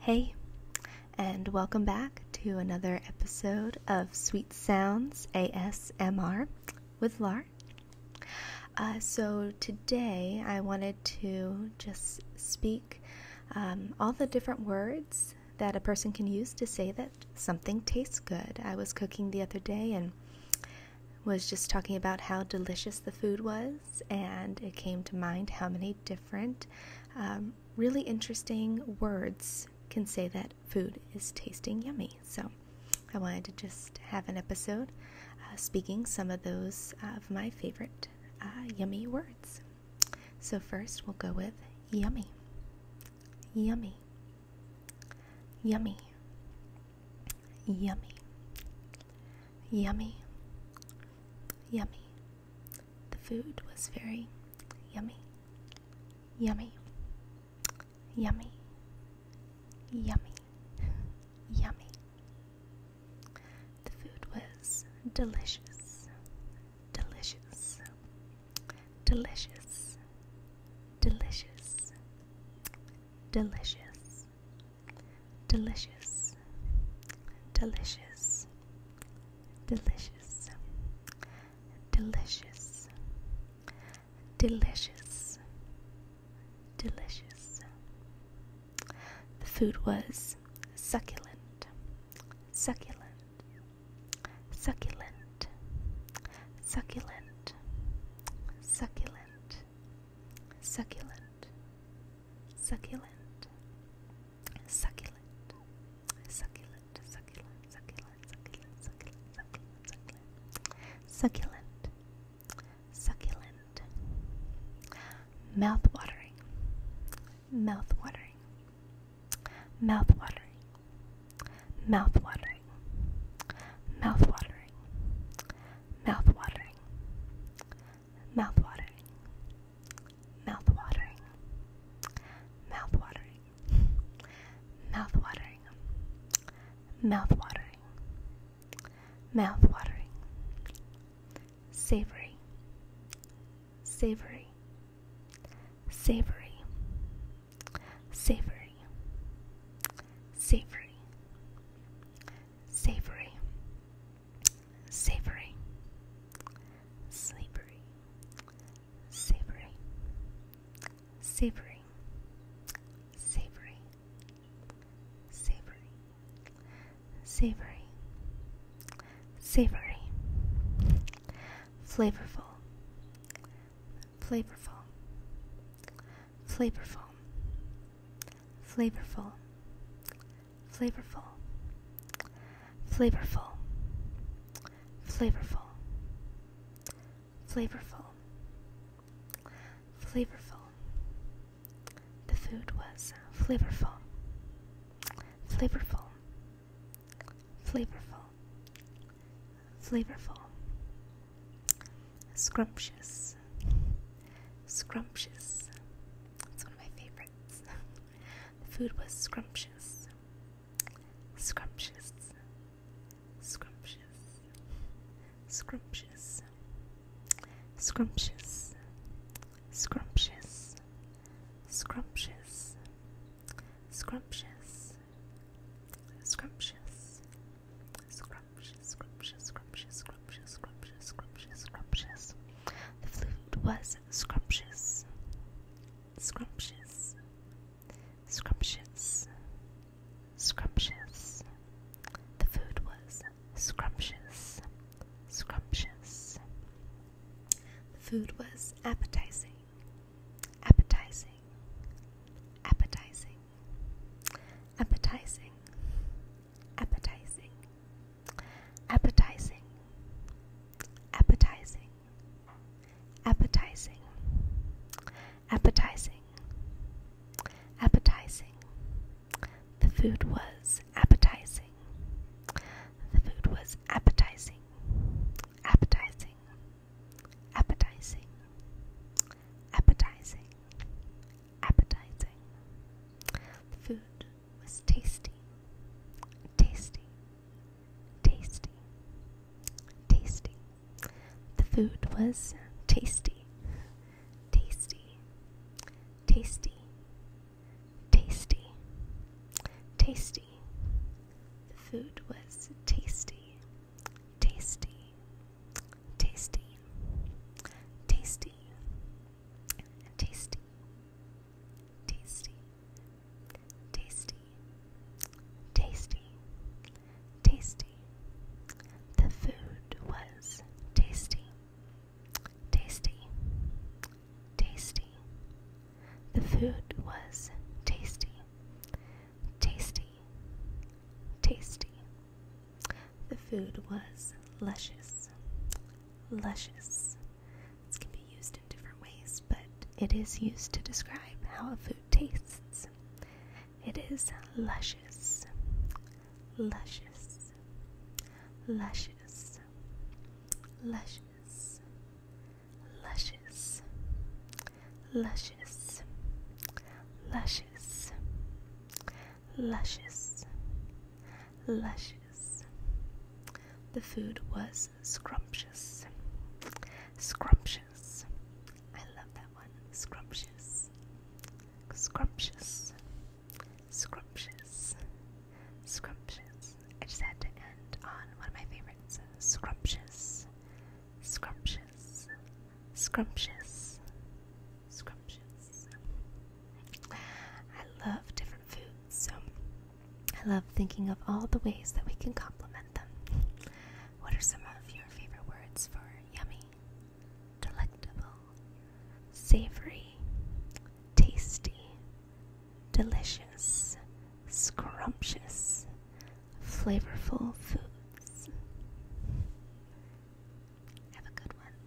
Hey, and welcome back to another episode of Sweet Sounds ASMR with Lar. Uh, so, today I wanted to just speak um, all the different words that a person can use to say that something tastes good. I was cooking the other day and was just talking about how delicious the food was, and it came to mind how many different different, um, really interesting words can say that food is tasting yummy. So I wanted to just have an episode uh, speaking some of those of my favorite uh, yummy words. So first we'll go with yummy. Yummy. Yummy. Yummy. Yummy. Yummy. The food was very yummy. Yummy. Yummy. Yummy. yummy. The food was delicious. Delicious. Delicious. Delicious. Delicious. Delicious, delicious, delicious, delicious, delicious, delicious. The food was succulent, succulent, succulent, succulent, succulent, succulent. Succulent. Succulent. Succulent. Succulent. Succulent. Succulent. Succulent. Succulent. Succulent. Succulent. Mouth-watering. Mouth-watering. Mouth-watering. Mouth-watering. Mouth-watering. Mouth-watering. Mouthwatering. Mouthwatering. Mouthwatering. Mouthwatering. Mouthwatering. Mouthwatering. Savory. Savory. Savory. Savory. Savory. Savory savory, slippery, savory, savory, savory, savory, savory, savory, flavorful, flavorful, flavorful, flavorful flavorful, flavorful, flavorful, flavorful, flavorful. The food was flavorful, flavorful, flavorful, flavorful, scrumptious, scrumptious. That's one of my favorites difference. the food was scrumptious. Scrumptious. Scrumptious. Scrumptious. Scrumptious. Scrumptious. Scrumptious. Scrumptious. Scrumptious. Scrumptious. Scrumptious. Scrumptious. Scrumptious. Scrumptious scrumptious, scrumptious, scrumptious. The food was scrumptious, scrumptious, scrumptious, scrumptious. The food was scrumptious, scrumptious. The food was appetizing, appetizing, appetizing, appetizing appetizing, appetizing, appetizing, appetizing, appetizing, appetizing. The food was appetizing. The food was appetizing, appetizing, appetizing, appetizing, appetizing. The food was tasty, tasty, tasty, tasty. The food was tasty, tasty, tasty, tasty, tasty. The food was tasty, tasty, tasty, tasty, Tasty, tasty, tasty, tasty, tasty. The food was tasty, tasty, tasty. The food was tasty, tasty, tasty. The food was luscious, luscious, this can be used in different ways, but it is used to describe how a food tastes. It is luscious, luscious, luscious, luscious, luscious, luscious, luscious, luscious, luscious. The food was scrumptious. Scrumptious. I love that one. Scrumptious. Scrumptious. Scrumptious. Scrumptious. I just had to end on one of my favorites. Scrumptious. Scrumptious. Scrumptious. Scrumptious. I love different foods, so I love thinking of all the ways that we can compliment them. What are some of your favorite words for yummy, delectable, savory, tasty, delicious, scrumptious, flavorful foods? Have a good one.